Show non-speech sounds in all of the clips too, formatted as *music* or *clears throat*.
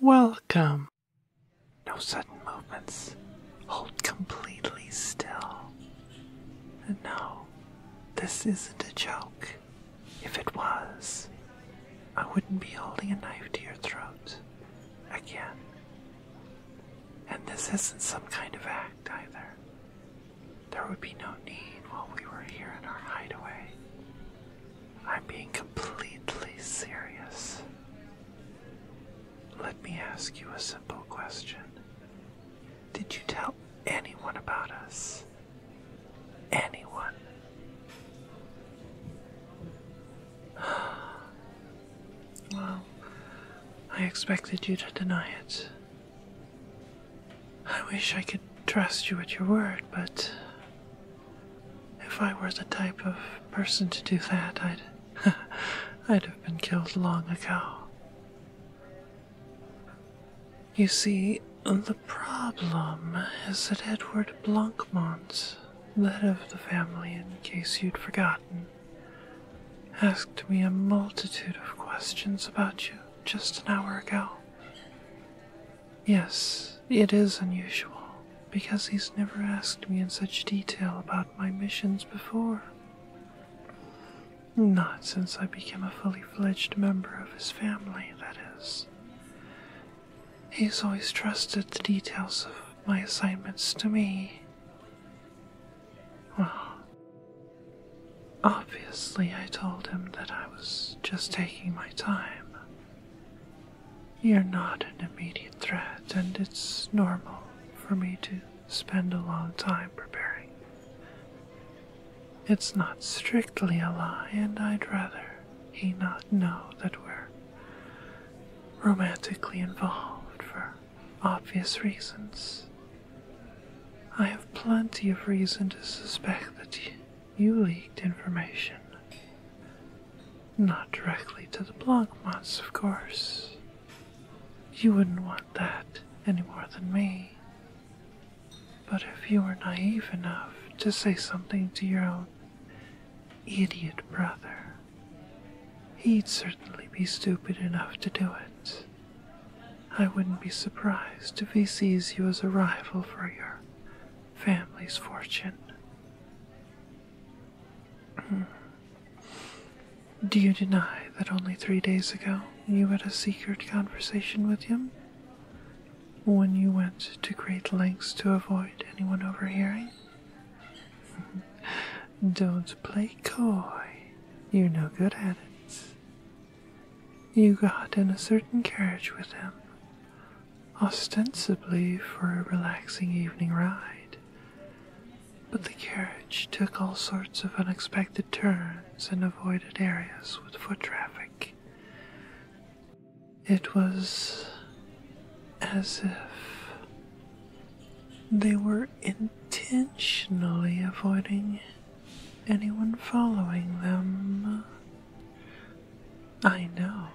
Welcome. No sudden movements. Hold completely still. And no, this isn't a joke. If it was, I wouldn't be holding a knife to your throat again. And this isn't some kind of act either. There would be no need while we were here in our hideaway I'm being completely serious. Let me ask you a simple question. Did you tell anyone about us? Anyone? *gasps* Well, I expected you to deny it. I wish I could trust you with your word, but if I were the type of person to do that, I'd *laughs* I'd have been killed long ago. You see, the problem is that Edward Blancmont, the head of the family, in case you'd forgotten, asked me a multitude of questions about you just an hour ago. Yes, it is unusual, because he's never asked me in such detail about my missions before. Not since I became a fully fledged member of his family, that is. He's always trusted the details of my assignments to me. Well, obviously, I told him that I was just taking my time. You're not an immediate threat, and it's normal for me to spend a long time preparing. It's not strictly a lie, and I'd rather he not know that we're romantically involved for obvious reasons. I have plenty of reason to suspect that you leaked information. Not directly to the Blancmonts, of course. You wouldn't want that any more than me. But if you were naive enough to say something to your own idiot brother, he'd certainly be stupid enough to do it. I wouldn't be surprised if he sees you as a rival for your family's fortune. Hmm. Do you deny that only three days ago you had a secret conversation with him? When you went to great lengths to avoid anyone overhearing? *laughs* Don't play coy. You're no good at it. You got in a certain carriage with him, ostensibly for a relaxing evening ride, but the carriage took all sorts of unexpected turns and avoided areas with foot traffic. It was as if they were intentionally avoiding anyone following them. I know,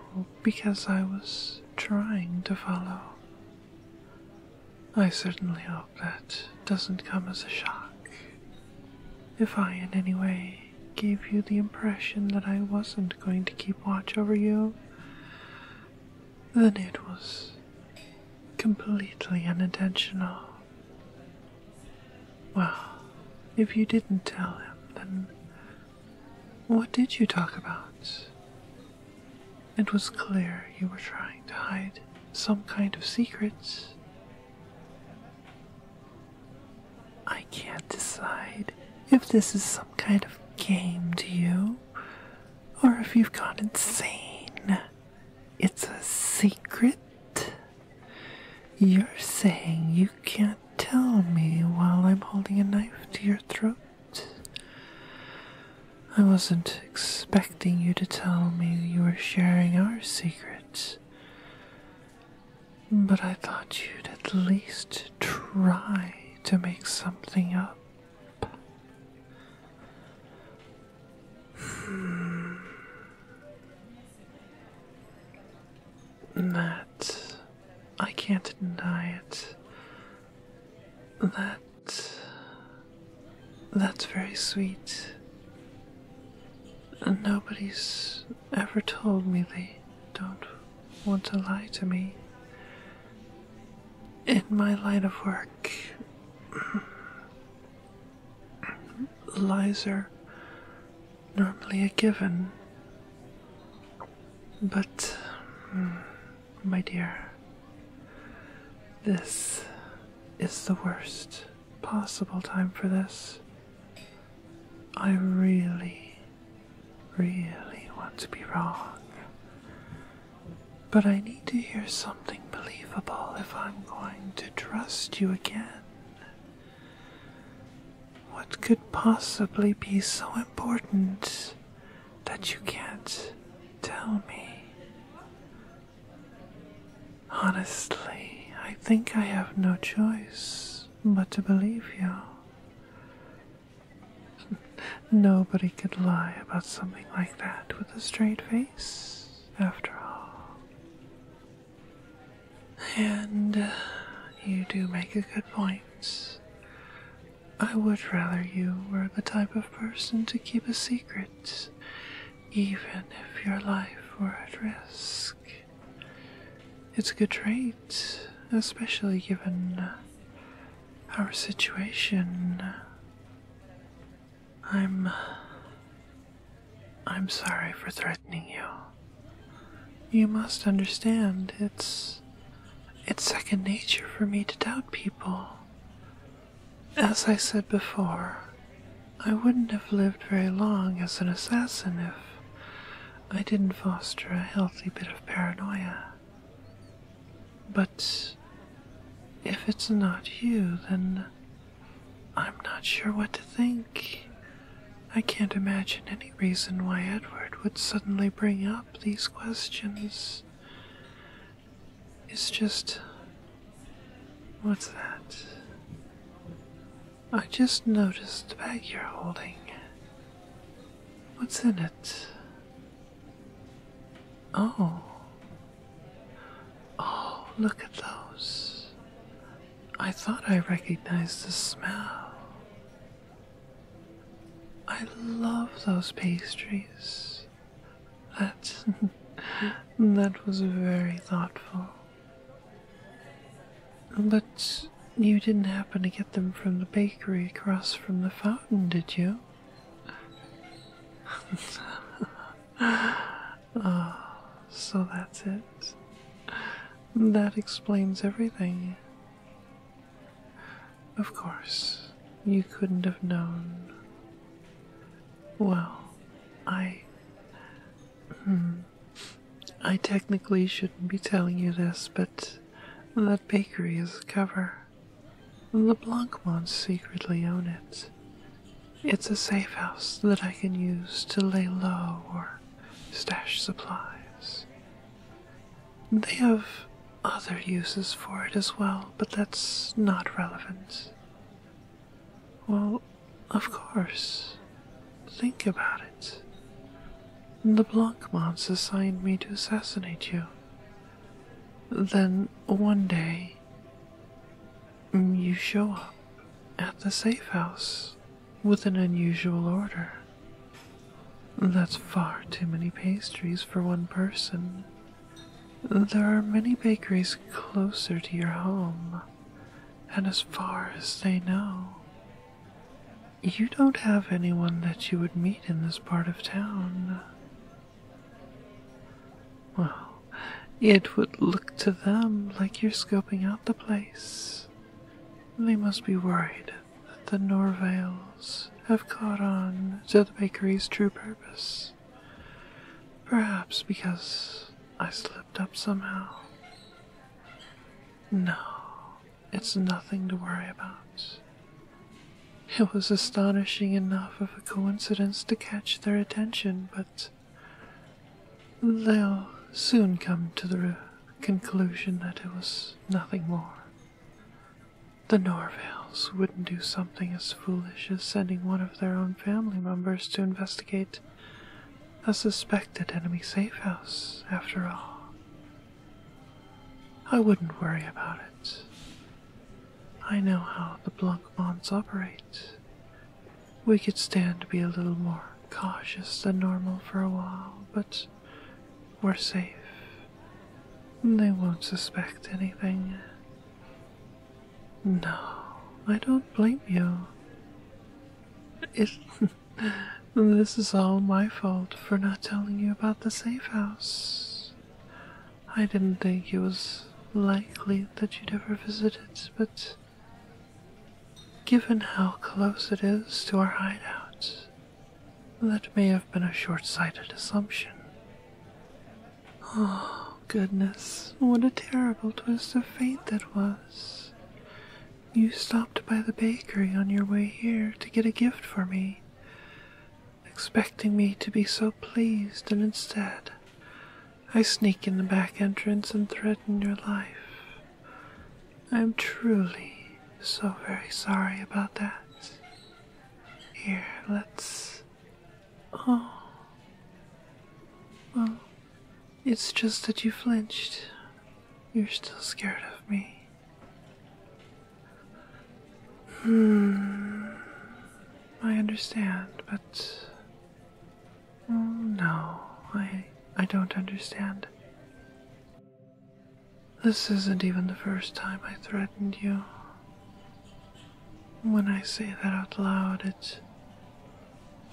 because I was trying to follow. I certainly hope that doesn't come as a shock. If I in any way gave you the impression that I wasn't going to keep watch over you, then it was completely unintentional. Well, if you didn't tell him, then what did you talk about? It was clear you were trying to hide some kind of secrets. I can't decide if this is some kind of game to you or if you've gone insane. It's a secret. You're saying you can't tell me while I'm holding a knife to your throat? I wasn't expecting you to tell me you were sharing our secrets. But I thought you'd at least try to make something up. Hmm. That. I can't deny it. That. That's very sweet. nobody's ever told me they don't want to lie to me. In my line of work, *clears throat* lies normally a given. But, hmm, my dear, this is the worst possible time for this. I really, really want to be wrong. But I need to hear something believable if I'm going to trust you again. What could possibly be so important that you can't tell me? Honestly, I think I have no choice but to believe you. *laughs* Nobody could lie about something like that with a straight face, after all. And uh, you do make a good point. I would rather you were the type of person to keep a secret, even if your life were at risk. It's a good trait, especially given uh, our situation. I'm uh, I'm sorry for threatening you. You must understand, it's. it's second nature for me to doubt people. As I said before, I wouldn't have lived very long as an assassin if I didn't foster a healthy bit of paranoia. But if it's not you, then I'm not sure what to think. I can't imagine any reason why Edward would suddenly bring up these questions. It's just. What's that? I just noticed the bag you're holding. What's in it? Oh. Oh, look at those. I thought I recognized the smell. I love those pastries. That *laughs* that was very thoughtful. But you didn't happen to get them from the bakery across from the fountain, did you? *laughs* Ah, so that's it. That explains everything. Of course, you couldn't have known. Well, I. Hmm, I technically shouldn't be telling you this, but that bakery is a cover. The Blancmans secretly own it. It's a safe house that I can use to lay low or stash supplies. They have other uses for it as well, but that's not relevant. Well, of course. Think about it. The Blancmonts assigned me to assassinate you. Then, one day, Mm, you show up at the safe house with an unusual order. That's far too many pastries for one person. There are many bakeries closer to your home, and as far as they know, you don't have anyone that you would meet in this part of town. Well, it would look to them like you're scoping out the place. They must be worried that the Norvales have caught on to the bakery's true purpose. Perhaps because I slipped up somehow. No, it's nothing to worry about. It was astonishing enough of a coincidence to catch their attention, but They'll soon come to the conclusion that it was nothing more. The Norvales wouldn't do something as foolish as sending one of their own family members to investigate a suspected enemy safe house, after all. I wouldn't worry about it. I know how the Blancmans operate. We could stand to be a little more cautious than normal for a while, but we're safe. They won't suspect anything. No, I don't blame you. It, *laughs* this is all my fault for not telling you about the safe house. I didn't think it was likely that you'd ever visit it, but Given how close it is to our hideout, that may have been a short sighted assumption. Oh, goodness, what a terrible twist of fate that was. You stopped by the bakery on your way here to get a gift for me, expecting me to be so pleased, and instead I sneak in the back entrance and threaten your life. I'm truly so very sorry about that. Here, let's. Oh. Well, it's just that you flinched. You're still scared of me. Hmm. I understand, but Oh, no, I, I don't understand. This isn't even the first time I threatened you. When I say that out loud, it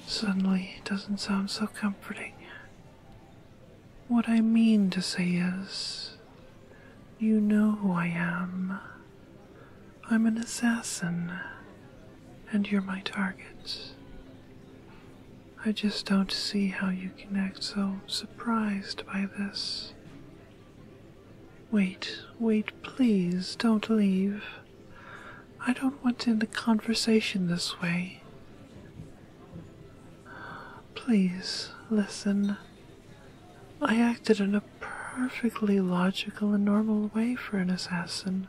suddenly doesn't sound so comforting. What I mean to say is, you know who I am. I'm an assassin, and you're my target. I just don't see how you can act so surprised by this. Wait, wait, please, don't leave. I don't want to end the conversation this way. Please, listen. I acted in a perfectly logical and normal way for an assassin.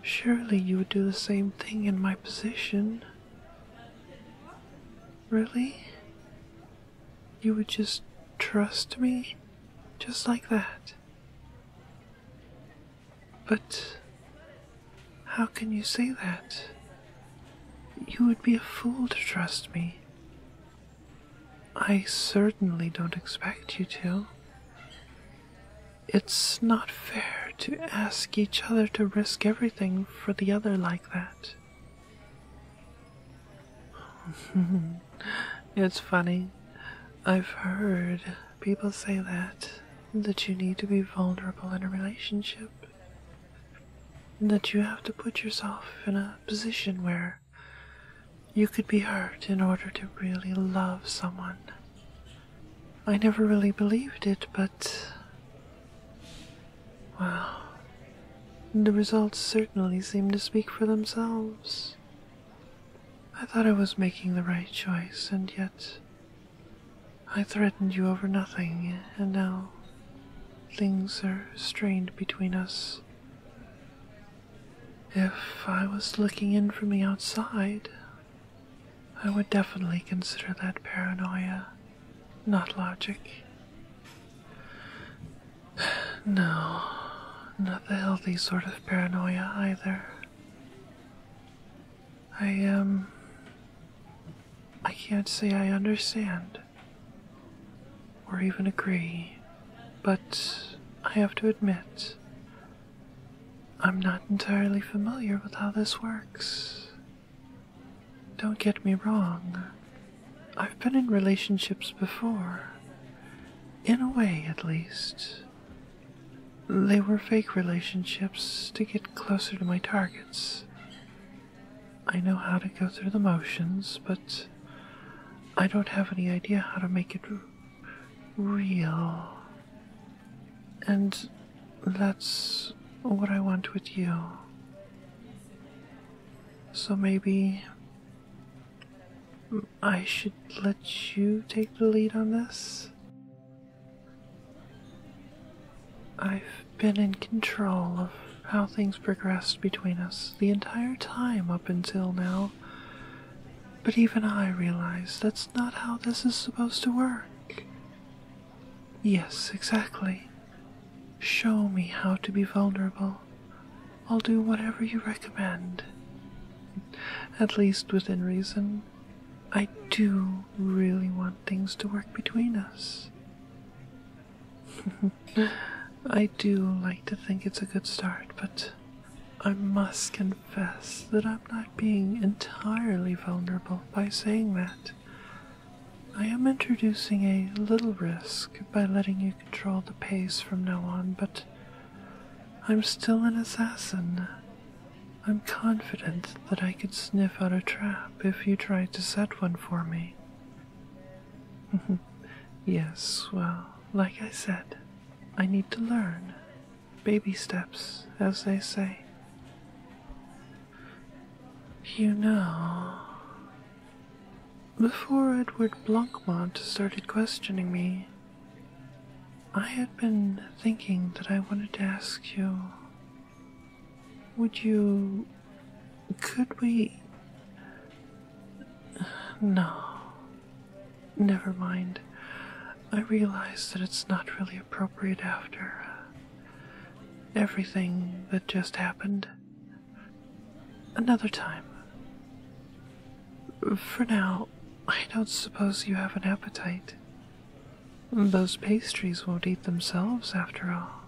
Surely you would do the same thing in my position. Really? You would just trust me? Just like that? But how can you say that? You would be a fool to trust me. I certainly don't expect you to. It's not fair to ask each other to risk everything for the other like that. *laughs* it's funny. I've heard people say that, that you need to be vulnerable in a relationship, that you have to put yourself in a position where you could be hurt in order to really love someone. I never really believed it, but. Well, the results certainly seem to speak for themselves. I thought I was making the right choice, and yet. I threatened you over nothing, and now things are strained between us. If I was looking in from the outside, I would definitely consider that paranoia, not logic. *sighs* No, not the healthy sort of paranoia either. I, um. I can't say I understand or even agree, but I have to admit, I'm not entirely familiar with how this works. Don't get me wrong, I've been in relationships before. In a way, at least. They were fake relationships to get closer to my targets. I know how to go through the motions, but I don't have any idea how to make it real. And that's what I want with you. So maybe I should let you take the lead on this? I've been in control of how things progressed between us the entire time up until now. But even I realize that's not how this is supposed to work. Yes, exactly. Show me how to be vulnerable. I'll do whatever you recommend. At least within reason. I do really want things to work between us. *laughs* I do like to think it's a good start, but I must confess that I'm not being entirely vulnerable by saying that. I am introducing a little risk by letting you control the pace from now on, but I'm still an assassin. I'm confident that I could sniff out a trap if you tried to set one for me. *laughs* yes, well, like I said, I need to learn. Baby steps, as they say. You know, before Edward Blancmont started questioning me, I had been thinking that I wanted to ask you would you. could we. No. Never mind. I realize that it's not really appropriate after uh, everything that just happened. Another time. For now, I don't suppose you have an appetite. Those pastries won't eat themselves, after all.